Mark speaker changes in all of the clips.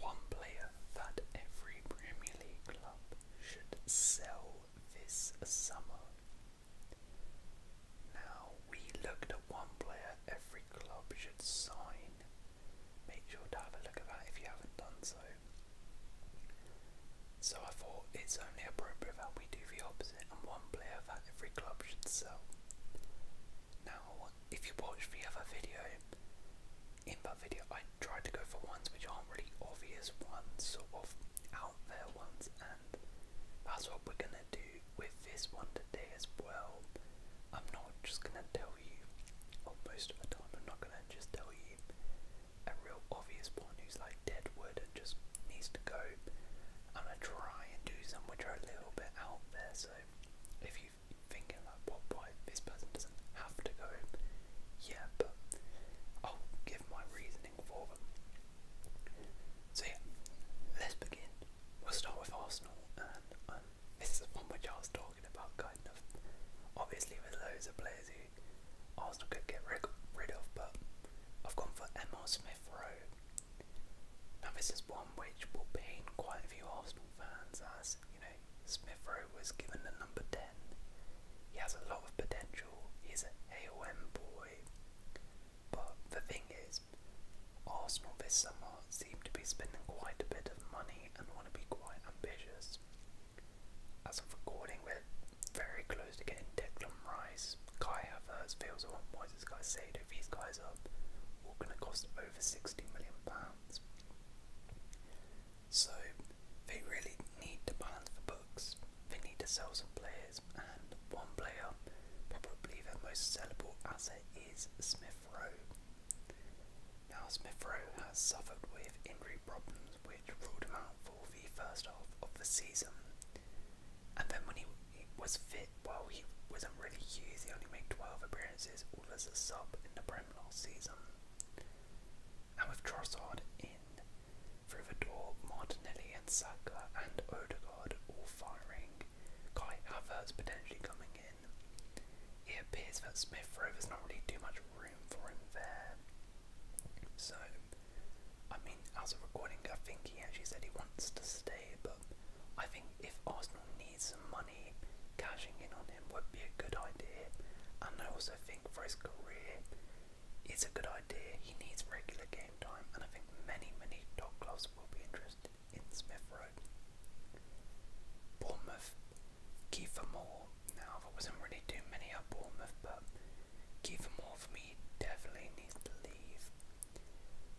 Speaker 1: one player that every Premier League club should sell this summer. Now, we looked at one player every club should sign. Make sure to have a look at that if you haven't done so. So, I thought it's only appropriate that we do the opposite and one player that every club should sell. Now, if you watch the other video, in that video I tried to go for ones which aren't really obvious ones, sort of out there ones, and that's what we're gonna do with this one today as well. I'm not just gonna tell you, or most of the time, I'm not gonna just tell you a real obvious one who's like dead wood and just needs to go. I'm gonna try and do some which are a little bit out there, so if you you thinking like, well, why
Speaker 2: this person doesn't have to go? Yeah, but I'll give my reasoning for them. So yeah, let's begin. We'll start with Arsenal,
Speaker 1: and um, this is one which I was talking about, kind of. Obviously, with loads of players who Arsenal could get rid, rid of, but I've gone for Emma Smith Rowe. Now, this is one which will pain quite a few Arsenal fans as is, you know, Smith Rowe was given the number 10. He has a lot of potential. He's a AOM boy. But the thing is, Arsenal this summer seem to be spending quite a bit of money and want to be quite ambitious. As of recording, we're very close to getting Declan Rice, Kai Havertz, Fields, or Moises Caicedo. These guys are all going to cost over £60 million pounds. So they really need to balance the books. They need to sell some players, and one player, probably their most sellable asset, is Smith Rowe. Now Smith Rowe has suffered with injury problems, which ruled him out for the first half of the season. And then when he, he was fit, while well, he wasn't really used, he only made 12 appearances role as a in the Prem last season. And with Trossard in, Frivador, Martinelli and Saka and Odegaard all firing, Kai Havertz potentially coming in, it appears that Smith Rowe there's not really too much room for him there. So, I mean, as a recording, I think he actually said he wants to stay, but I think if Arsenal needs some money, cashing in on him would be a good idea.
Speaker 2: And I also think for his career, it's a good idea. He needs regular game
Speaker 1: time, and I think many, many top clubs will be interested in Smith Road. Bournemouth, Kiefer Moore. Now, there wasn't really too many at Bournemouth, but Kiefer Moore for me definitely needs to leave.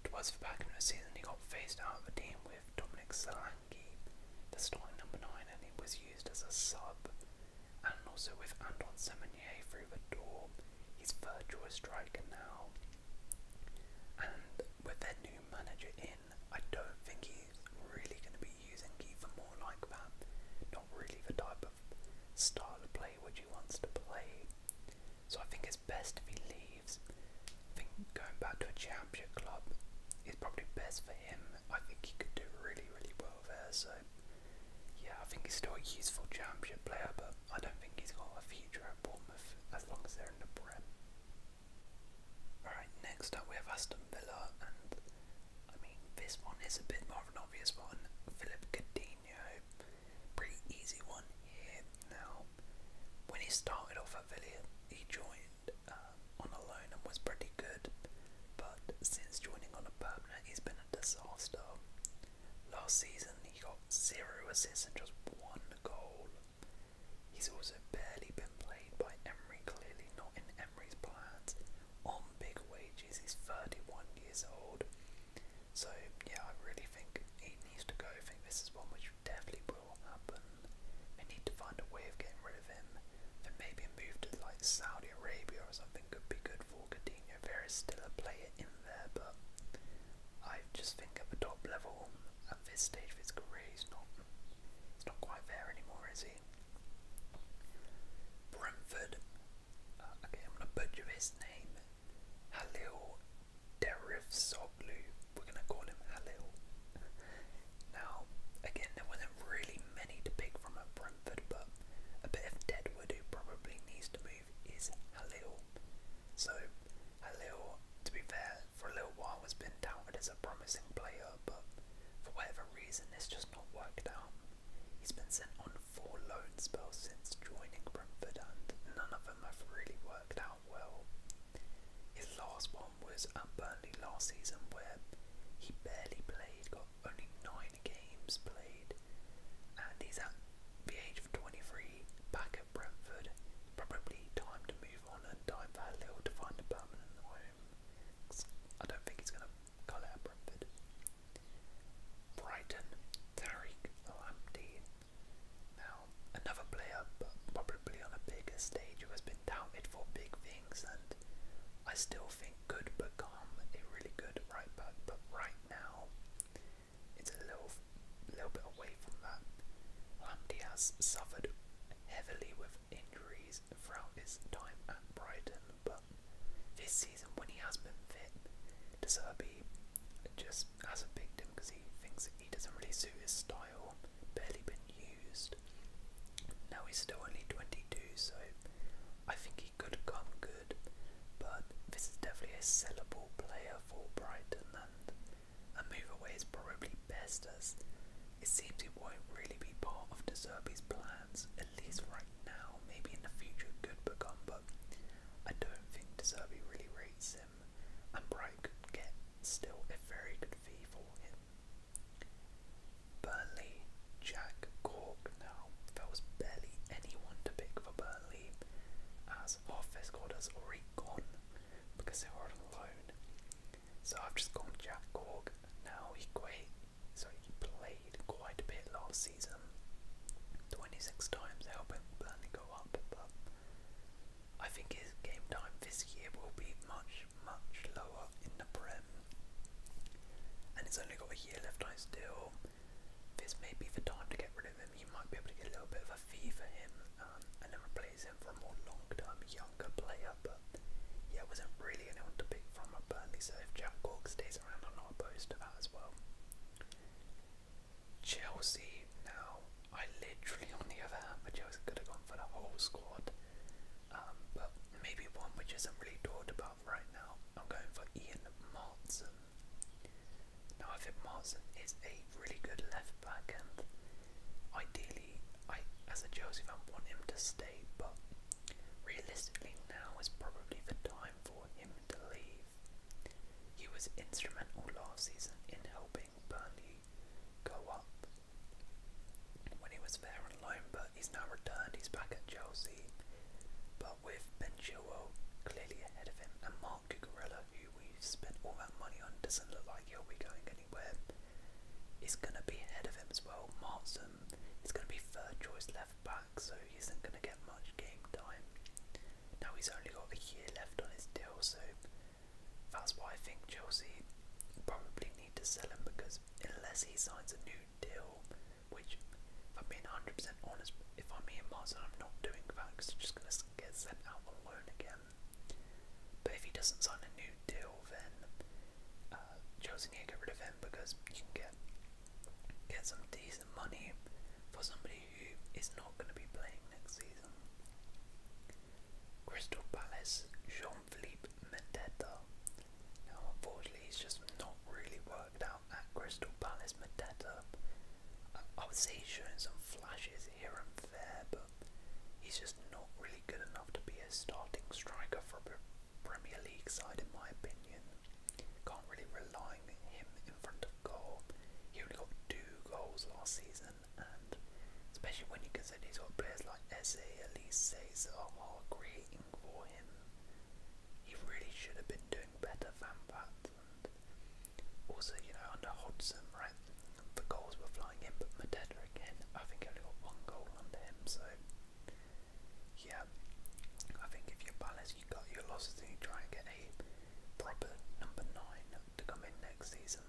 Speaker 1: Towards the back end of the season, he got phased out of the team, with Dominic Solanke, the starting number nine, and he was used as a sub. And also with Anton Semenier through the door, he's third choice striker now. And with their new manager in, I don't think he's really going to be using Kiefer more like that. Not really the type of style of play which he wants to play. So I think it's best if he leaves. I think going back to a Championship club is probably best for him. I think he could do really, really well there. So, yeah, I think he's still a useful Championship player, but I don't think he's got a future at Bournemouth as long as they're in the Prem. Alright, next up we have Aston Villa, and I mean, this one is a bit more of an obvious one. Philip Coutinho, pretty easy one here. Now, when he started off at Villa, he joined um, on a loan and was pretty good, but since joining on a permanent, he's been a disaster. Last season, he got zero assists and just one goal. He's also barely been played by Emery, clearly not in Emery's plans. On big wages, he's 31 years old. So, yeah, I really think he needs to go. I think this is one which definitely will happen. They need to find a way of getting rid of him, and maybe a move to like Saudi Arabia or something could be good for Coutinho. There is still a player in there, but I just think at the top level, at this stage of his career, he's not, he's not quite there anymore, is he? Brentford. Uh, okay, I'm gonna butcher his name. Halil Derivsob. Lou. We're going to call him Halil. now, again, there wasn't really many to pick from at Brentford, but a bit of Deadwood who probably needs to move is Halil. So, Halil, to be fair, for a little while has been touted as a promising player, but for whatever reason, it's just not worked out. He's been sent on four loan spells since joining Brentford, and none of them have really worked out well. His last
Speaker 2: one one was at Burnley last season, where he barely played, got only nine games played, and
Speaker 1: he's at the age of 23, back at Brentford. Probably time to move on and time for a little to find a permanent home. I don't think he's going to call it at Brentford. Brighton, Tariq Lamptey. Now, another player, but probably on a bigger stage who has been touted for big things, and I still think could become a really good right back. But right now, it's a little, little bit away from that. Lam Diaz suffered heavily with injuries throughout his time at Brighton, but this season, when he has been fit, De Serbi just hasn't picked him because he thinks he doesn't really suit his style. Barely been used. Now he's still only 22, so I think he could come good, but this is definitely a sellable player for Brighton, and a move away is probably best as it seems he won't really be part of De Zerbe's plans, at least right now. Maybe in the future it could become, but I don't think De Zerbe really rates him, and Brighton could get still a very good fee for him. Burnley, Jack Cork now. There was barely anyone to pick for Burnley as half their squad has already gone because they were on loan. So I've just gone Jack Cork now he's great, so he played quite a bit last season.
Speaker 2: Twenty six times helping Burnley go up I think his game time this year will be much much, much lower in the Prem. And it's only got a year left on his deal. This may be the time to get rid of him. You might be able to get a little bit of a fee for him um, and then replace him for a more long-term, younger
Speaker 1: player. But yeah, wasn't really anyone to pick from at Burnley. So if Jack Gorg stays around, I'm not opposed to that as well. Chelsea now. I literally, on the other hand, but Chelsea could have gone for the whole squad um, but maybe one which isn't really talked about right now. I'm going for Ian Martson. Now, I think Martson is a really good left back, and ideally, I, as a Chelsea fan, want him to stay, but realistically, now is probably the time for him to leave. He was instrumental last season in helping Burnley go up, when he was there on loan, but he's now returned. He's back at Chelsea, but with Ben Chilwell clearly ahead of him, and Mark Cucurella, who we've spent all that money on, doesn't look like he'll be going anywhere. He's gonna be ahead of him as well. Martson He's gonna be third choice left back, so he isn't gonna get much game time. Now he's only
Speaker 2: got a year left on his deal, so that's why I think Chelsea probably need to sell him because unless he signs a new deal, which if I'm being
Speaker 1: 100% honest, if I'm Ian Martin, I'm not doing that because he's just going to get sent out on loan again. But if he doesn't sign a new deal, then uh, Chelsea need to get rid of him because you can get get some decent money for somebody who is not going to be playing next season. Crystal Palace, Jean-Philippe Mateta. Now, unfortunately, he's just not really worked out at Crystal Palace. Mateta, I, I would say he's showing some flashes here and there, but he's just not really good enough to be a starting striker for a Premier League side, in my opinion. Can't really rely on him in front of goal. He only got two goals last season, and especially when you consider he's players like Eze, Elise, Zaha creating for him. He really should have been doing better than that. also, you know, under Hodgson, right, the goals were flying in, but Mateta again, I think only got one goal under him, so yeah, I think if you balance, balanced, you got your losses and you try and get a proper number nine to come in next season.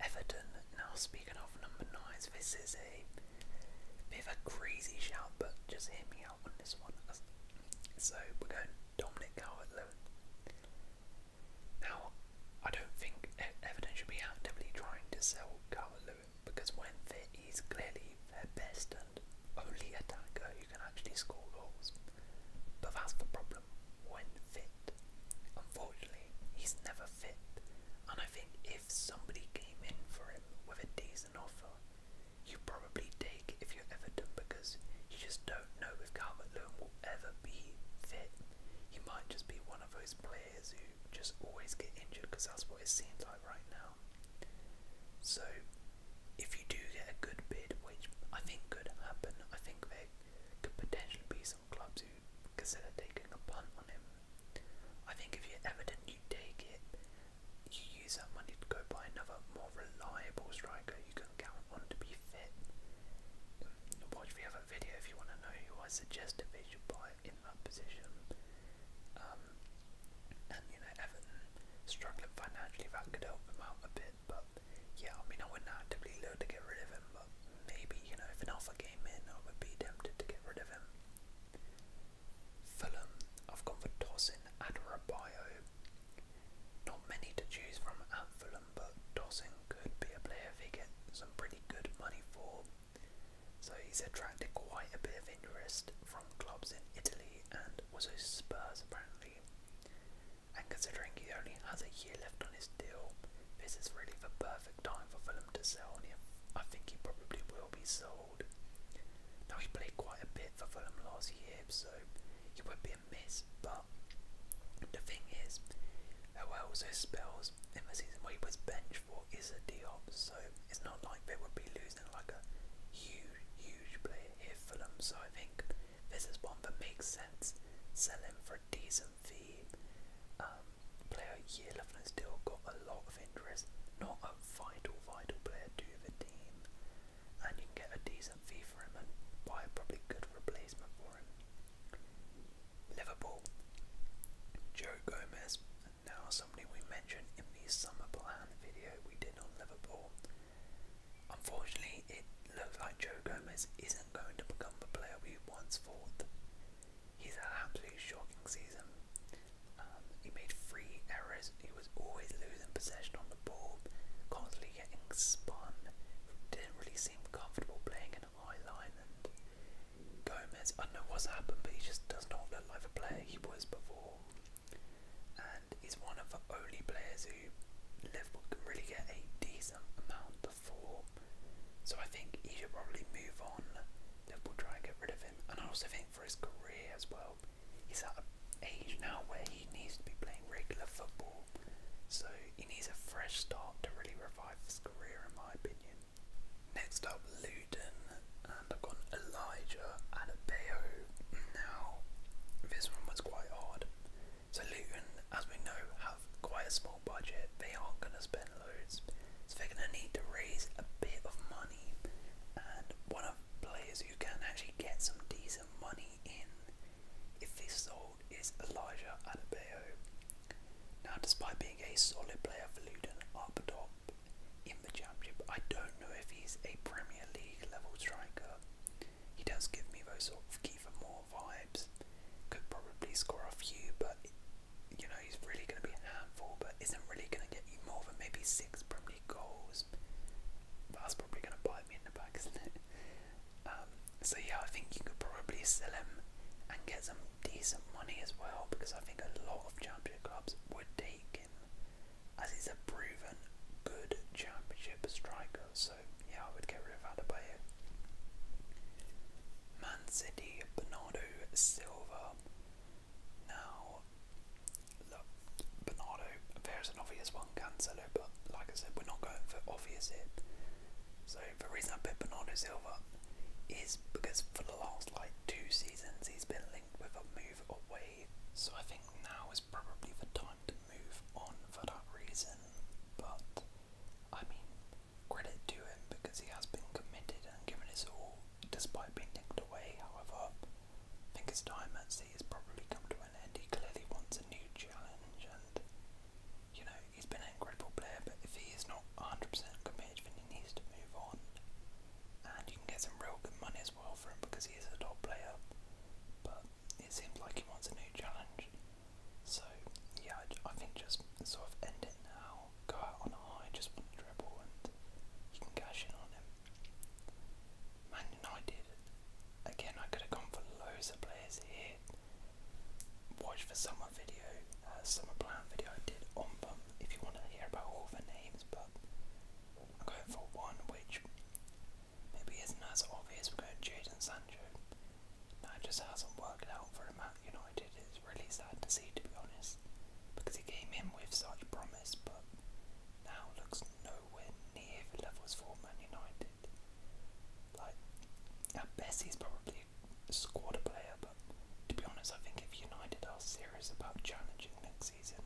Speaker 1: Everton, now speaking of number nine, this is a bit of a crazy shout, but just hear me out on this one. So we're going Dominic Calvert-Lewin. Now, I don't think Everton should be actively trying to sell Calvert-Lewin because when fit, he's clearly their best and only attacker who can actually score goals. But that's the problem. When fit, unfortunately, he's never fit. And I think if somebody came in for him with a decent offer, you probably take if you're Everton because you just don't know if Calvert Lewin will ever be fit. He might just be one of those players who just always get injured because that's what it seems like right now. So, if you do get a good bid, which I think could happen, I think there could potentially be some clubs to consider taking a punt on him. I think if you're Everton, you take it. You use that money to go buy another more reliable striker you can count on to be fit. Watch the other video if you want to know who I suggested they should buy in that position. Um, and you know, Everton struggling financially, that could help them out a bit. But yeah, I mean, I wouldn't actively look to get rid of him maybe, you know, if an offer came in, I would be tempted to get rid of him. Fulham, I've gone for Tosin Adarabio. Not many to choose from at Fulham, but Tosin could be a player if he gets some pretty good money for.
Speaker 2: So he's attracted quite a bit of interest from clubs in Italy and also Spurs apparently. And considering he only has a year left on his deal,
Speaker 1: this is really the perfect time for Fulham to sell, him. I think he probably will be sold. Now, he played quite a bit for Fulham last year, so he would be a miss, but the thing is, there were also spells in the season where he was bench for Issa Diop, so it's not like they would be losing like a huge, huge player here for so I
Speaker 2: think this is one that makes sense. Sell him for decent fee, um, player year level has still got a lot of interest. Not a vital, vital player to the team. And you can get a decent fee for him and buy probably good replacement for him.
Speaker 1: Liverpool. Joe Gomez. And now somebody we mentioned in the summer plan video we did on Liverpool. Unfortunately, it looks like Joe Gomez isn't going to become the player we once thought. He's had an absolutely shocking season. Um, he made three errors. He was always losing possession on the ball, constantly getting spun. Didn't really seem comfortable playing in a high line. And Gomez, I don't know what's happened, but he just does not look like the player he was before. And he's one of the only players who Liverpool can really get a decent amount four. So I think he should probably move on. Liverpool try and get rid of him, and I also think for his career as well, he's at an age now where he needs to be playing regular football. So he needs a fresh start to really revive his career, in my opinion. Next up, Luton, and I've got Elijah Adebayo. Now, this one was quite hard. So Luton, as we know, have quite a budget, they aren't going to spend loads. So they're going to need to raise a bit of money. And one of players who can actually get some decent money in if he's sold is Elijah Adebayo. Now, despite being a solid player for Luton up top in the championship, I don't know if he's a Premier League level striker. He does give me those sort of Kiefer Moore vibes. Could probably score a few, but you know, he's really going to be handful, but isn't really going to get you more than maybe six Premier goals. That's probably going to bite me in the back, um, so yeah, I think you could probably sell him and get some decent money as well, because I think a lot of Championship clubs would take him, as he's a proven good Championship striker. So yeah, I would get rid of Adebayo. Man City, Bernardo Silver. Now, Bernardo, there's an obvious one, Cancelo, but like I said, we're not going for obvious here. So the reason I picked Bernardo Silva is because for the last like two seasons he's been linked with a move away. So I think now is probably the time to move on for that reason. But I mean, Credit to him because he has been committed and given his all despite being nicked away. However, I think his time at sea has probably come to an end. He clearly wants a new challenge and you know, he's been an incredible player, but if he is not 100% committed, then he needs to move on. And you can get some real good money as well for him because he is a top player. But it seems like he wants a new challenge. So, yeah, I, I think just sort of end it now go out on a high just one dribble and you can cash in on him. Man United, again I could have gone for loads of players here. Watch for summer video, uh, summer plan video I did on them if you want to hear about all the names but I'm going for one which maybe isn't as obvious, we're going Jadon Sancho. That just hasn't worked out for him United. It's really sad to see, to be honest, because he came in with such promise, but now looks nowhere near the levels for Man United. Like, at best, he's probably a squad player, but to be honest, I think if United are serious about challenging next season,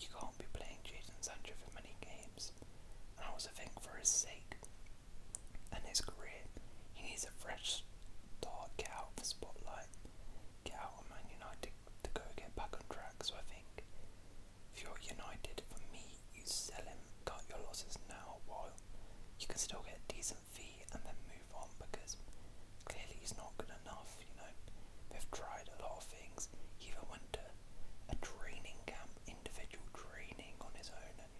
Speaker 1: you can't be playing Jason Sancho for many games. And I also think for his sake and his career, he needs a fresh Dart, get out of
Speaker 2: the spotlight, get out of Man United to go get back on track. So I think if you're United, for me, you sell
Speaker 1: him, cut your losses now while you can still get a decent fee and then move on because clearly he's not good enough. You know, they've tried a lot of things, he even went to a training camp, individual training on his own, and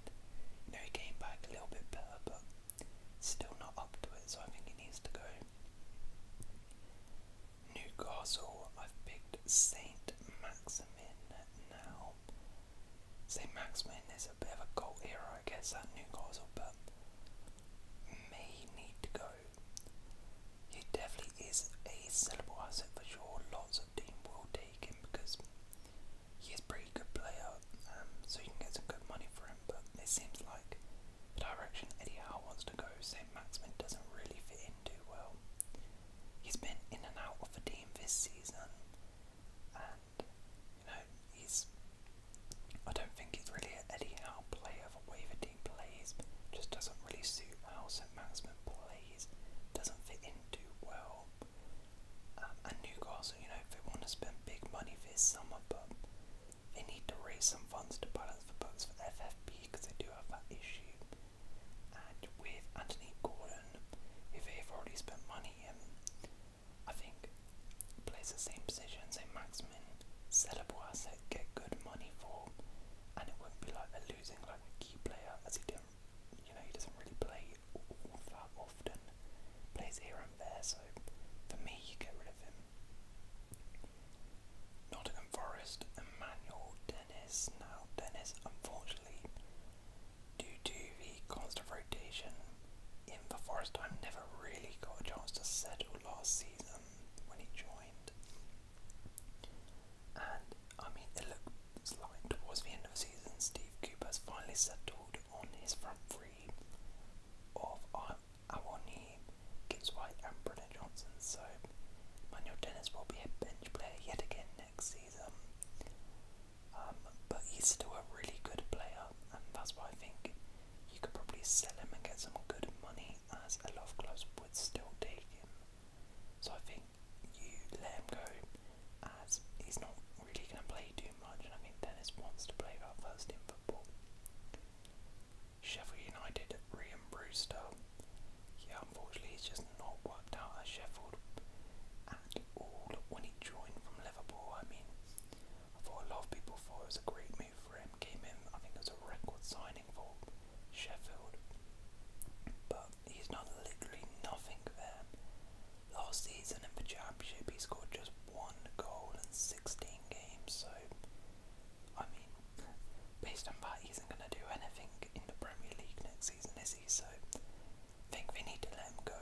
Speaker 1: you know, he came back a little bit better, but Still not up to it, so I think he needs to go. Newcastle, I've picked Saint Maximin now. Saint Maximin is a bit of a goal hero, I guess, at Newcastle, but may need to go. He definitely is a sellable asset for sure. Lots of team will take him because he is a pretty good player, um, so you can get some good money for him, but it seems like the direction Eddie Howe wants to go, St. Maximin doesn't really fit in too well. He's been in and out of the team this season, and, you know, he's, I don't think he's really an Eddie Howe player, the way the team plays just doesn't really suit how St. Maximin plays, doesn't fit in too well. Um, and Newcastle so, you know, if they want to spend big money this summer, but they need to raise some funds to balance the books for FFP because they do have that issue. And with Anthony Gordon, who they've already spent money in, um, I think plays the same position, same maximum sellable asset, get good money for, and it wouldn't be like they're losing like a key player as he didn't, you know, he doesn't really play all that often plays here and there, so for me, you get rid of him. Nottingham Forest, Emmanuel Dennis. Now, Dennis, unfortunately, due to the constant rotation in the Forest, I never really got a chance to settle last season when he joined. And I mean, look, it's like towards the end of the season, Steve Cooper has finally settled on his front three three of our, our new Gibbs White and Brenna Johnson. So Manuel Dennis will be a bench player yet again next season. Um, but he's still a really good player, and that's why I think you could probably sell him and get some good money, as a lot of clubs would still take him. So I think you let him go, as he's not really going to play too much. I think Dennis wants to play that first team football. Sheffield United, Rian Brewster. Yeah, unfortunately, he's just not worked out at Sheffield at all when he joined from Liverpool. I mean, I thought a lot of people thought it was a great move for him. Came in, I think it was a record signing for Sheffield. But he's done literally nothing there. Last season in the Championship, he scored just one goal in 16 games, so I mean, based on that, he isn't going to do anything in the Premier League next season, is he? So I think we need to let him go.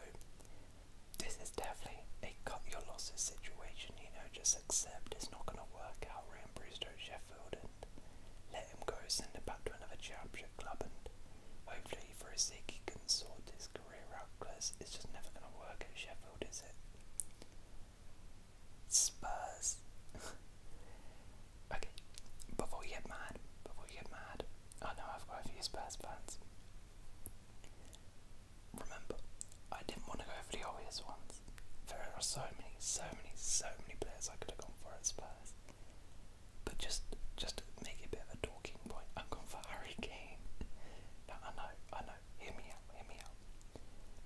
Speaker 1: This is definitely a cut your losses situation, you know, just accept it's not going to work out. Ryan Brewster Sheffield and let him go, send him back to another championship club, and hopefully for his sake he can sort his career career out it's just never going to work at Sheffield, is it? Spurs. okay, before you get mad, before you get mad, I know I've got a few Spurs fans. Remember, I didn't want to go for the obvious ones. There are so many, so many, so many players I could have gone for at Spurs. But just, just make it a bit of a talking point, I've gone for Harry Kane. I know, I know hear me out, hear me out.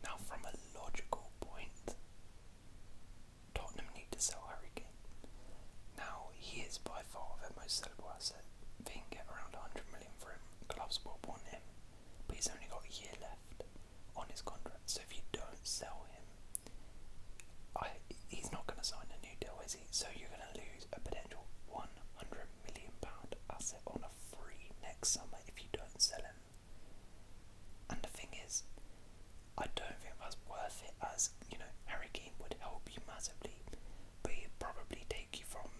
Speaker 1: Now, from a logical point, Tottenham need to sell Harry Now, he is by far their most sellable asset. They can get around 100 million for him. Clubs will want him, but he's only got a year left on his contract. So if you don't sell him, he's not going to sign a new deal, is he? So you're going to lose a potential 100 million pound asset on a for free next summer if you don't sell him. And the thing is, I don't think that's worth it as, you know, Harry Kane would help you massively, but he'd probably take you from,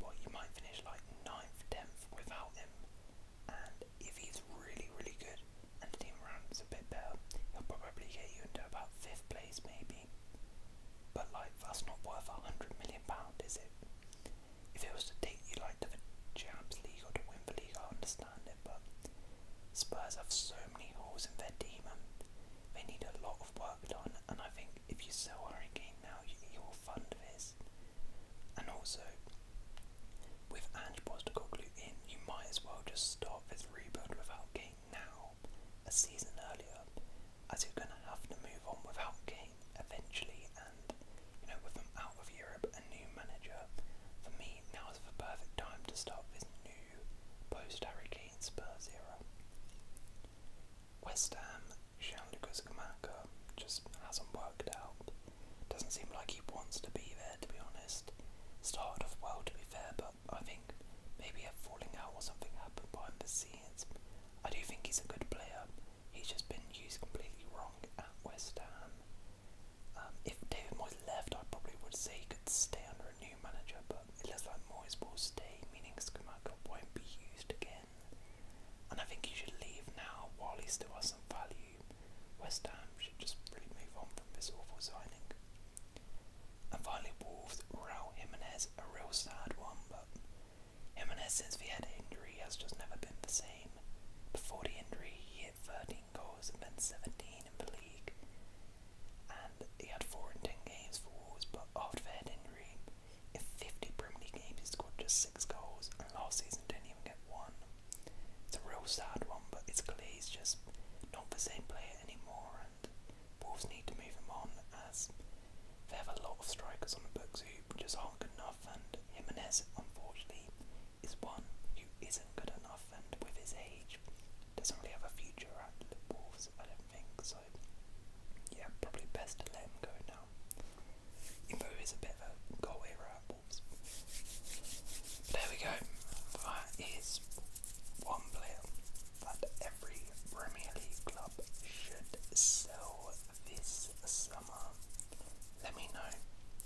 Speaker 1: well, you might finish like 9th, 10th without him. And if he's really, really good and the team around is a bit better, he'll probably get you into about 5th place maybe movie. But like that's not worth a hundred million pound, is it? If it was to take you like to the Champions League or to win I understand it. But Spurs have so many holes in their team, they need a lot of work done. And I think if you sell Harry now, you, will fund this. And also, with Ange Postecoglou in, you might as well just start this rebuild without Kane now a season earlier, as you're going to have to move on without Kane eventually, and you know, with him out of Europe, a new manager. For me, now is the perfect time to start this new post Harry Kane Spurs era. West Ham, Jean-Lucas Kamaka just hasn't worked out. Doesn't seem like he wants to be there, to be honest. Started off well, to be fair, but I think maybe a falling out or something happened behind the scenes. I do think he's a good player. He's just been used completely wrong at West Ham. Um, if David Moyes left, I probably would say he could stay under a new manager, but it looks like Moyes will stay, meaning Skamaka won't be used again. And I think he should leave now while he still has some value. West Ham should just really move on from this awful signing. And finally, Wolves, Raul Jimenez, a real sad one, but Jimenez, since he had injury, has just never been the same. Before the injury, he hit 13 goals and then 17 in the league. And he had 4 in 10 games for Wolves, but after the head injury, in 50 Premier League games, he scored just 6 goals, and last season didn't even get one. It's a real sad one, but it's clear he's just not the same player anymore, and Wolves need to move him on as they have a lot of strikers on the books who just aren't good enough, and Jimenez, unfortunately, is one who isn't good enough, and with his age, doesn't really have a future at the Wolves, I don't think. So, yeah, probably best to let him go now. Even though he's a bit of a goal era at Wolves. But there we go. That is one player that every Premier League club should sell will this summer. Let me know,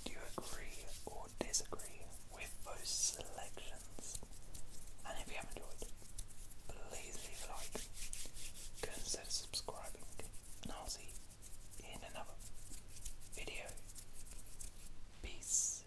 Speaker 1: do you agree or disagree with those selections? And if you have enjoyed, please leave a like,
Speaker 2: consider subscribing, and I'll see you in another video. Peace.